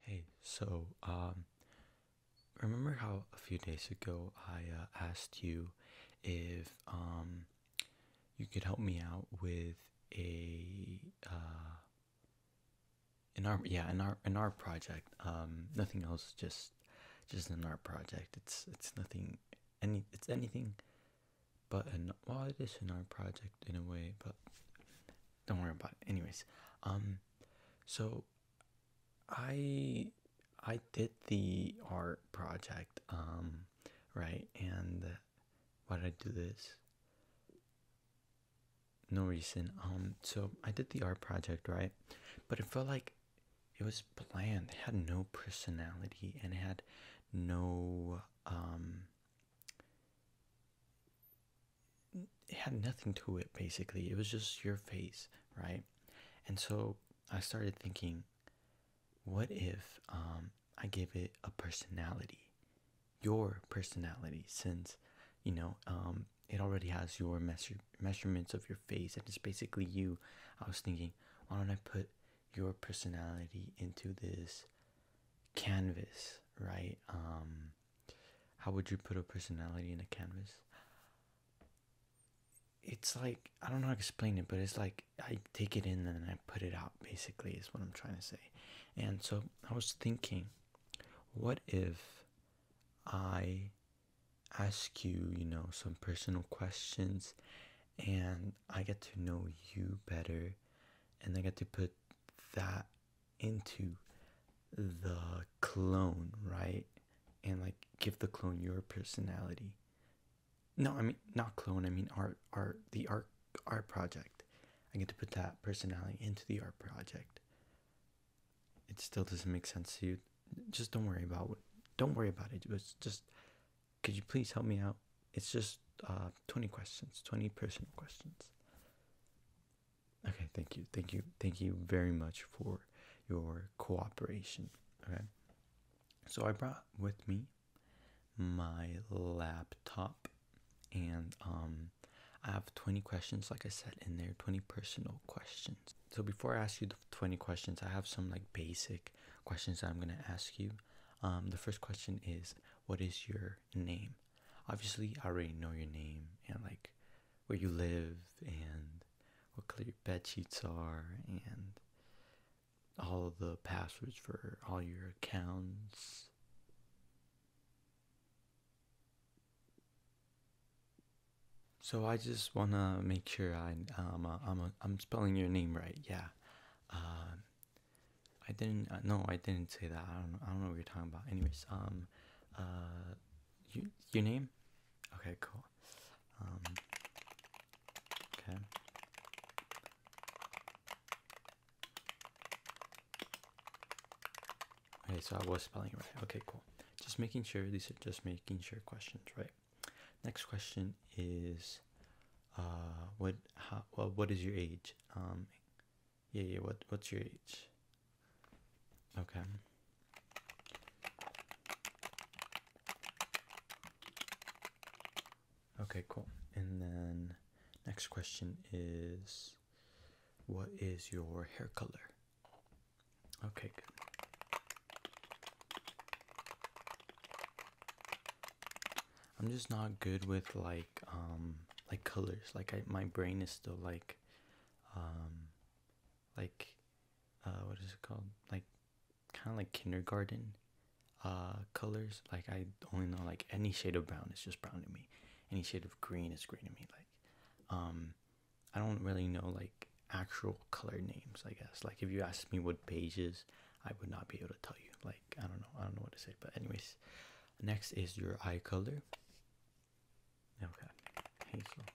Hey, so um, remember how a few days ago I uh, asked you if um, you could help me out with a uh, an art yeah an art an art project um nothing else just just an art project it's it's nothing any it's anything but an well it is an art project in a way but don't worry about it anyways um so i i did the art project um right and why did i do this no reason um so i did the art project right but it felt like it was bland had no personality and had no um it had nothing to it basically it was just your face right and so i started thinking what if um, i give it a personality your personality since you know um, it already has your measurements of your face and it's basically you i was thinking why don't i put your personality into this canvas right um, how would you put a personality in a canvas? It's like I don't know how to explain it, but it's like I take it in and I put it out. Basically, is what I'm trying to say. And so I was thinking, what if I ask you, you know, some personal questions, and I get to know you better, and I get to put that into the clone, right? And like give the clone your personality. No, I mean not clone. I mean art, art, the art, art project. I get to put that personality into the art project. It still doesn't make sense to you. Just don't worry about it. Don't worry about it. It's just, could you please help me out? It's just uh, 20 questions, 20 personal questions. Okay, thank you, thank you, thank you very much for your cooperation. Okay, so I brought with me my laptop, and um, I have 20 questions, like I said in there, 20 personal questions. So before I ask you the 20 questions, I have some like basic questions that I'm gonna ask you. Um, the first question is, what is your name. Obviously, I already know your name and like where you live and what color your bed sheets are and all the passwords for all your accounts. So I just wanna make sure I um, uh, I'm a, uh, I'm spelling your name right. Yeah. Um, I didn't. Uh, no, I didn't say that. I don't. I don't know what you're talking about. Anyways, um, uh, you your name? Okay, cool. Um, okay. Okay, so I was spelling it right. Okay, cool. Just making sure these are just making sure questions, right? Next question is, uh, what how well, what is your age? Um, yeah, yeah, what, what's your age? Okay. Okay, cool. And then next question is what is your hair color? Okay, good. I'm just not good with like um, like colors like my brain is still like um, like uh, what is it called like kind of like kindergarten uh, colors like i only know like any shade of brown is just brown to me any shade of green is green to me like um, i don't really know like actual color names i guess like if you ask me what beige is i would not be able to tell you like i don't know i don't know what to say but anyways next is your eye color Okay, Hazel.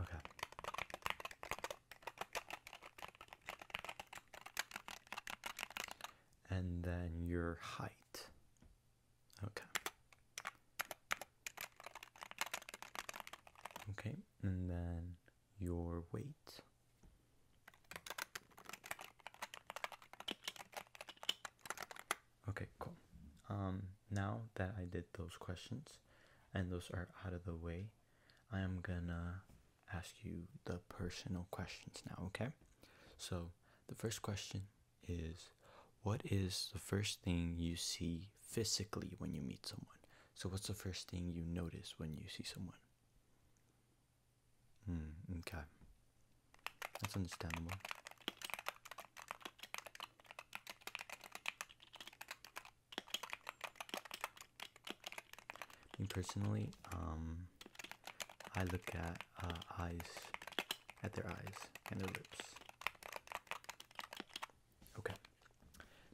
Okay. And then your height. Okay. Okay, and then your weight. Okay, cool. Um, now that I did those questions and those are out of the way, I am gonna ask you the personal questions now, okay? So, the first question is What is the first thing you see physically when you meet someone? So, what's the first thing you notice when you see someone? Hmm, okay. That's understandable. Me personally, um, I look at uh, eyes, at their eyes and their lips. Okay.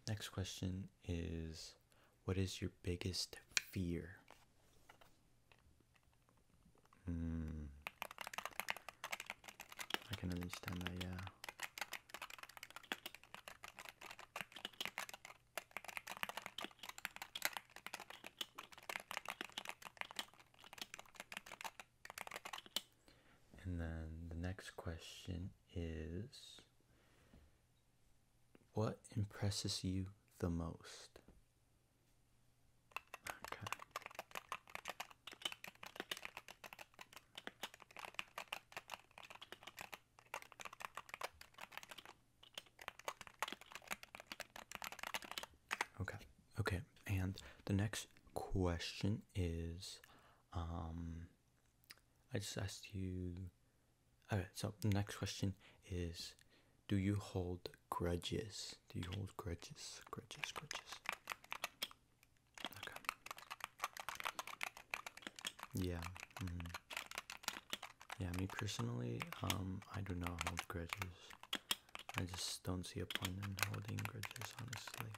Next question is what is your biggest fear? Hmm. I can understand that, yeah. And then the next question is what impresses you the most? Okay. Okay. Okay. And the next question is um I just asked you all right. So the next question is, do you hold grudges? Do you hold grudges? Grudges. Grudges. Okay. Yeah. Mm-hmm. Yeah. Me personally, um, I do not hold grudges. I just don't see a point in holding grudges, honestly.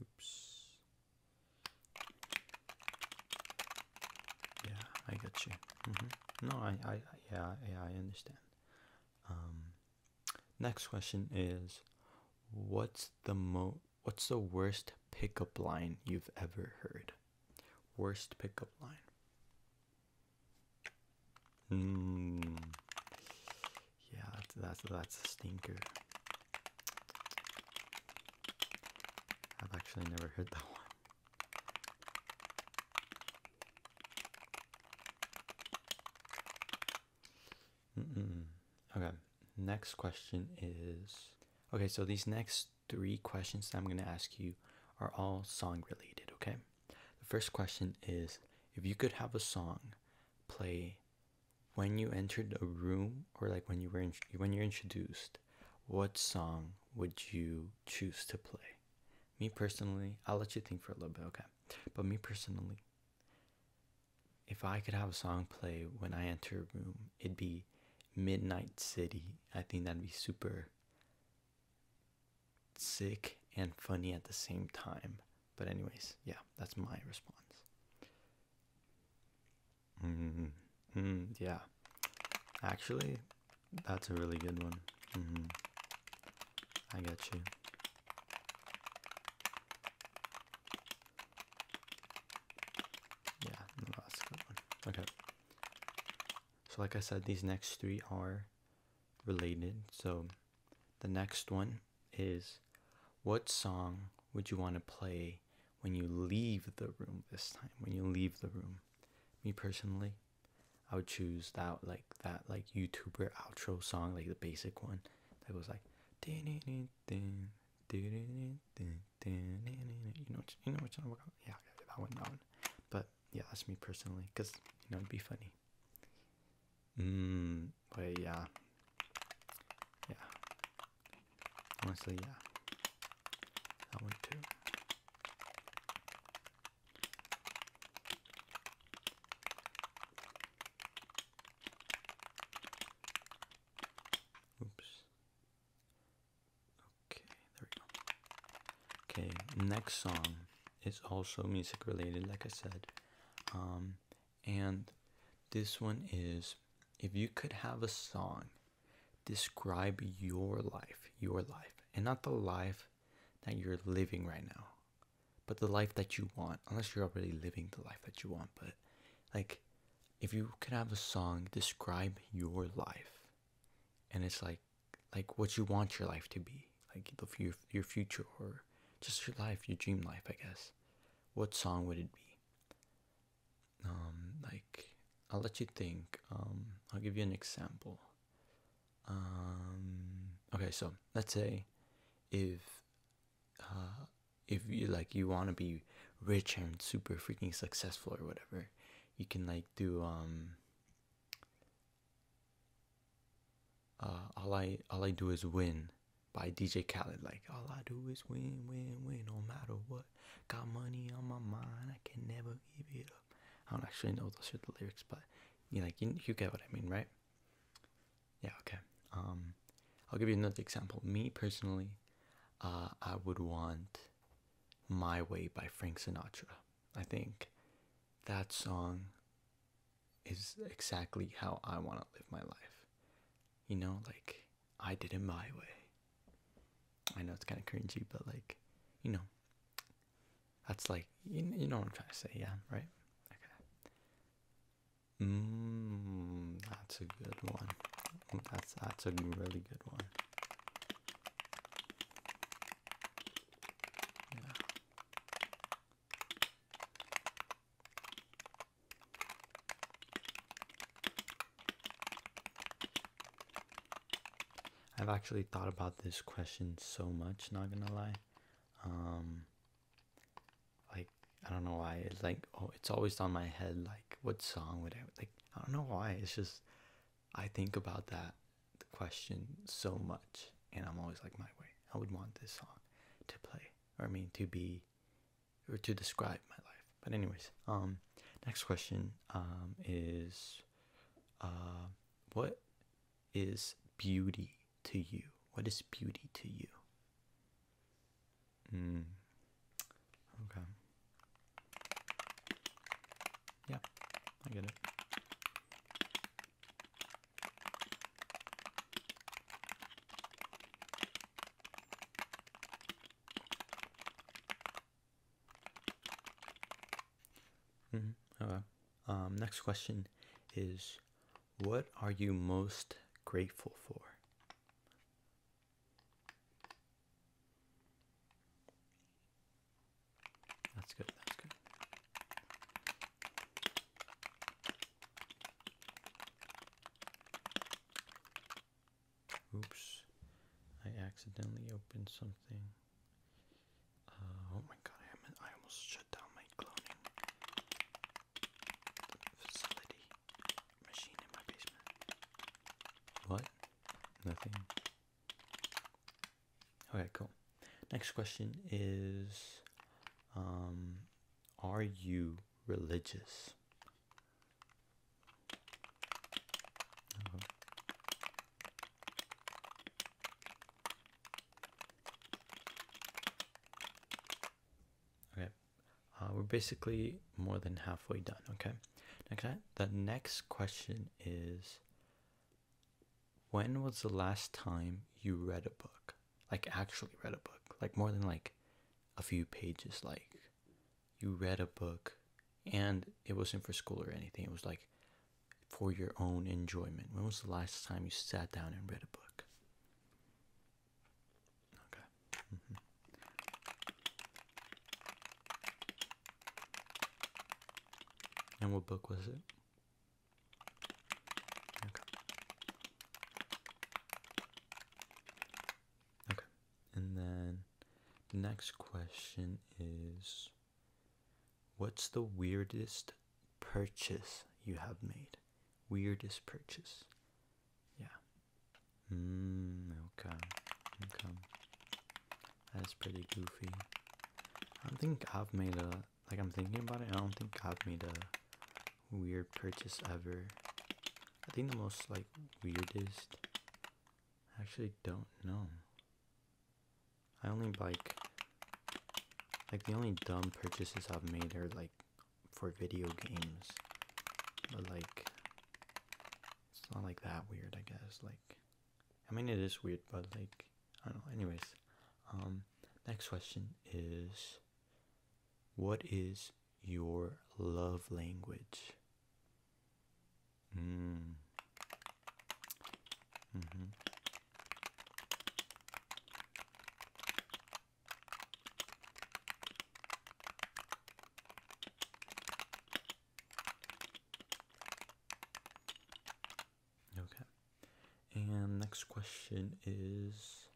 Oops. Yeah, I got you. Mm-hmm. No, I, I, yeah, yeah, I understand. Um, next question is, what's the mo? What's the worst pickup line you've ever heard? Worst pickup line. Mm. Yeah, that's that's a stinker. I've actually never heard that one. Okay, next question is okay, so these next three questions that I'm going to ask you are all song related, okay? The first question is if you could have a song play when you entered a room or like when you were when you're introduced what song would you choose to play me personally i'll let you think for a little bit okay but me personally if i could have a song play when i enter a room it'd be midnight city i think that'd be super sick and funny at the same time but anyways yeah that's my response -hmm. Yeah, actually, that's a really good one. -hmm. I get you. Yeah, that's good one. Okay. So, like I said, these next three are related. So, the next one is what song would you want to play when you leave the room this time when you leave the room me personally i would choose that like that like youtuber outro song like the basic one that was like you know you know which one yeah that one that one but yeah that's me personally because you know it'd be funny mm, but yeah yeah Honestly, yeah. That one too. Oops. Okay, there we go. Okay, next song is also music related, like I said. Um, and this one is if you could have a song describe your life, your life, and not the life that you're living right now, but the life that you want, unless you're already living the life that you want, but like if you could have a song describe your life and it's like like what you want your life to be, like your your future or just your life, your dream life, I guess. What song would it be? um, like I'll let you think. Um, I'll give you an example. Um, okay, so let's say if uh, if you like you want to be rich and super freaking successful or whatever, you can like do um. Uh, all I all I do is win by DJ Khaled. Like, all I do is win, win, win, no matter what. Got money on my mind, I can never give it up. I don't actually know those are the lyrics, but you know, like you, you get what I mean, right? Yeah, okay. Um, I'll give you another example. Me personally, uh, I would want "My Way" by Frank Sinatra. I think that song is exactly how I want to live my life. You know, like I did it my way. I know it's kind of cringy, but like, you know, that's like, you, you know what I'm trying to say, yeah, right? Okay. Mmm, that's a good one. That's that's a really good one. Yeah. I've actually thought about this question so much, not gonna lie. Um, like, I don't know why. It's like, oh, it's always on my head. Like, what song would I like? I don't know why. It's just, I think about that question so much, and I'm always like, my way. I would want this song to play, or I mean, to be or to describe my life. But anyways, um, next question um is, uh, what is beauty to you? What is beauty to you? Mm. Okay. Yeah, I get it. Mm -hmm. Okay. Um, next question is What are you most grateful for? That's good. That's good. Oops. I accidentally opened something. Uh, oh my god, I, I almost shut down my cloning facility machine in my basement. What? Nothing. Okay, cool. Next question is um, Are you religious? Uh-huh. Okay, uh, we're basically more than halfway done. Okay, next the next question is, when was the last time you read a book? Like actually read a book, like more than like a few pages, like you read a book and it wasn't for school or anything. It was like for your own enjoyment. When was the last time you sat down and read a book? Okay. Mm-hmm. And what book was it? Okay, and then the next question is What's the weirdest purchase you have made? Weirdest purchase. Yeah. Mm, okay. Okay. That's pretty goofy. I don't think I've made a like I'm thinking about it. I don't think I've made a weird purchase ever. I think the most like weirdest. actually don't know. I only like like the only dumb purchases I've made are like for video games. But like it's not like that weird, I guess. Like I mean it is weird, but like I don't Anyways, um next question is what is your love language. Mm. Mm-hmm. Okay. And next question is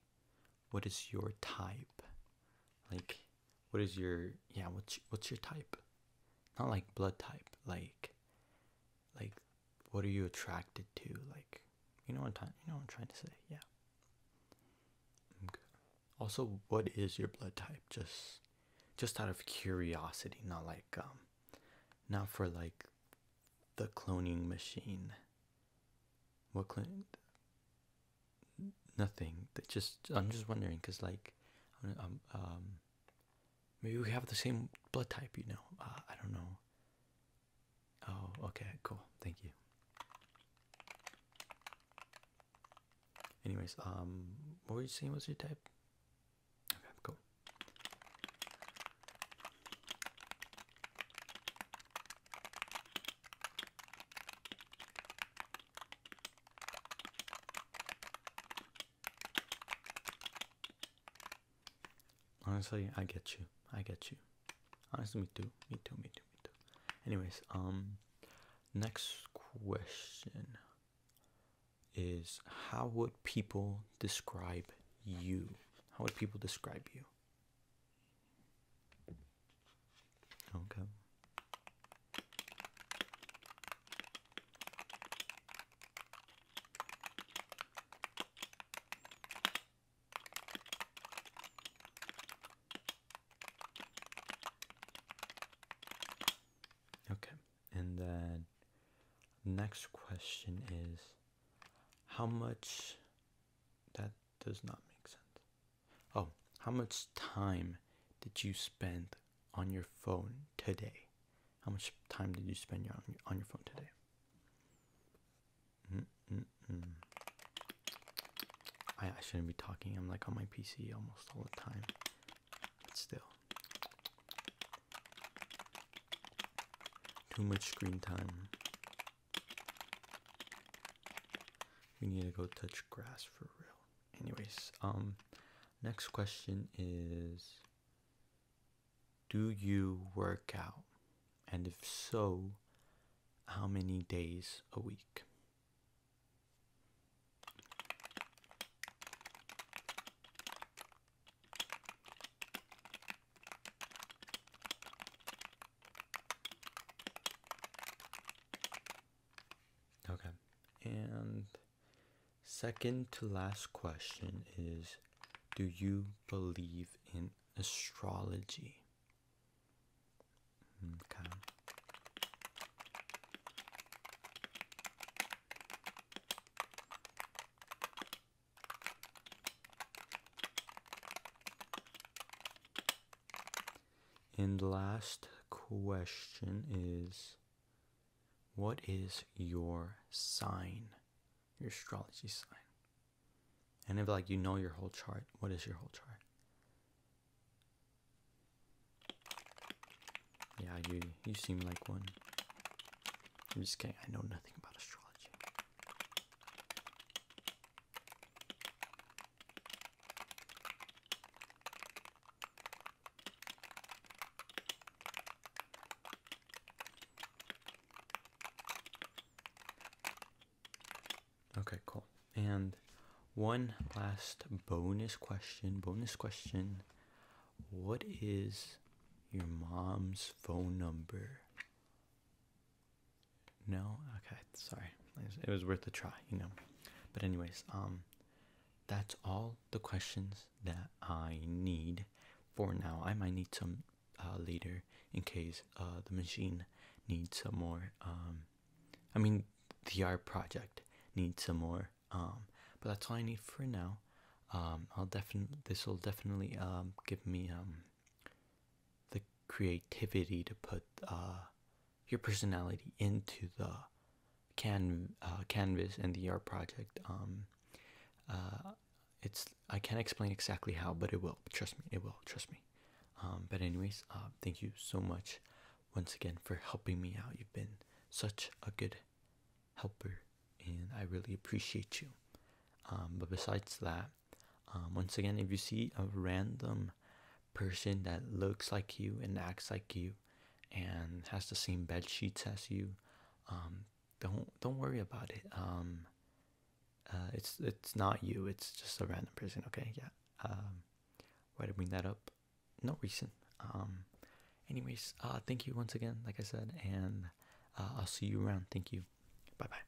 what is your type like what is your yeah what's what's your type not like blood type like like what are you attracted to like you know what time you know i'm trying to say yeah okay. also what is your blood type just just out of curiosity not like um not for like the cloning machine what clinic? Nothing. just I'm just wondering because like, um, um, maybe we have the same blood type. You know, uh, I don't know. Oh, okay, cool. Thank you. Anyways, um, what were you saying What's your type? Okay, cool. Honestly, I get you. I get you. Honestly, me too. Me too. Me too. Me too. Anyways, um, next question is how would people describe you? How would people describe you? Okay. Okay, and then next question is how much that does not make sense. Oh, how much time did you spend on your phone today? How much time did you spend on your, phone today? Mm -mm -mm. I, I shouldn't be talking. I'm like on my PC almost all the time, but still. Too much screen time. We need to go touch grass for real. Anyways, um, next question is Do you work out? And if so, how many days a week? Okay, and second to last question is Do you believe in astrology? Okay. And last question is what is your sign? Your astrology sign. And if like you know your whole chart, what is your whole chart? Yeah, you you seem like one. I'm just kidding, I know nothing about astrology. Okay, cool. And one last bonus question. Bonus question. What is your mom's phone number? No? Okay, sorry. It was worth a try, you know. But anyways, um that's all the questions that I need for now. I might need some uh, later in case uh, the machine needs some more um I mean the art project needs some more um but that's all I need for now. Um I'll definitely this will definitely um give me um the creativity to put uh, your personality into the can uh, canvas and the art project. Um, uh, it's I can't explain exactly how, but it will. Trust me, it will. Trust me. Um, but anyways, thank you so much once again for helping me out. You've been such a good helper, and I really appreciate you. Um, but besides that, um, once again, if you see a random person that looks like you and acts like you and has the same bed sheets as you, um, don't don't worry about it. Um, uh, it's it's not you. It's just a random person. Okay, yeah. Um, why did I bring that up? No reason. Um, anyways, uh, thank you once again, like I said, and uh, I'll see you around. Thank you. Bye bye.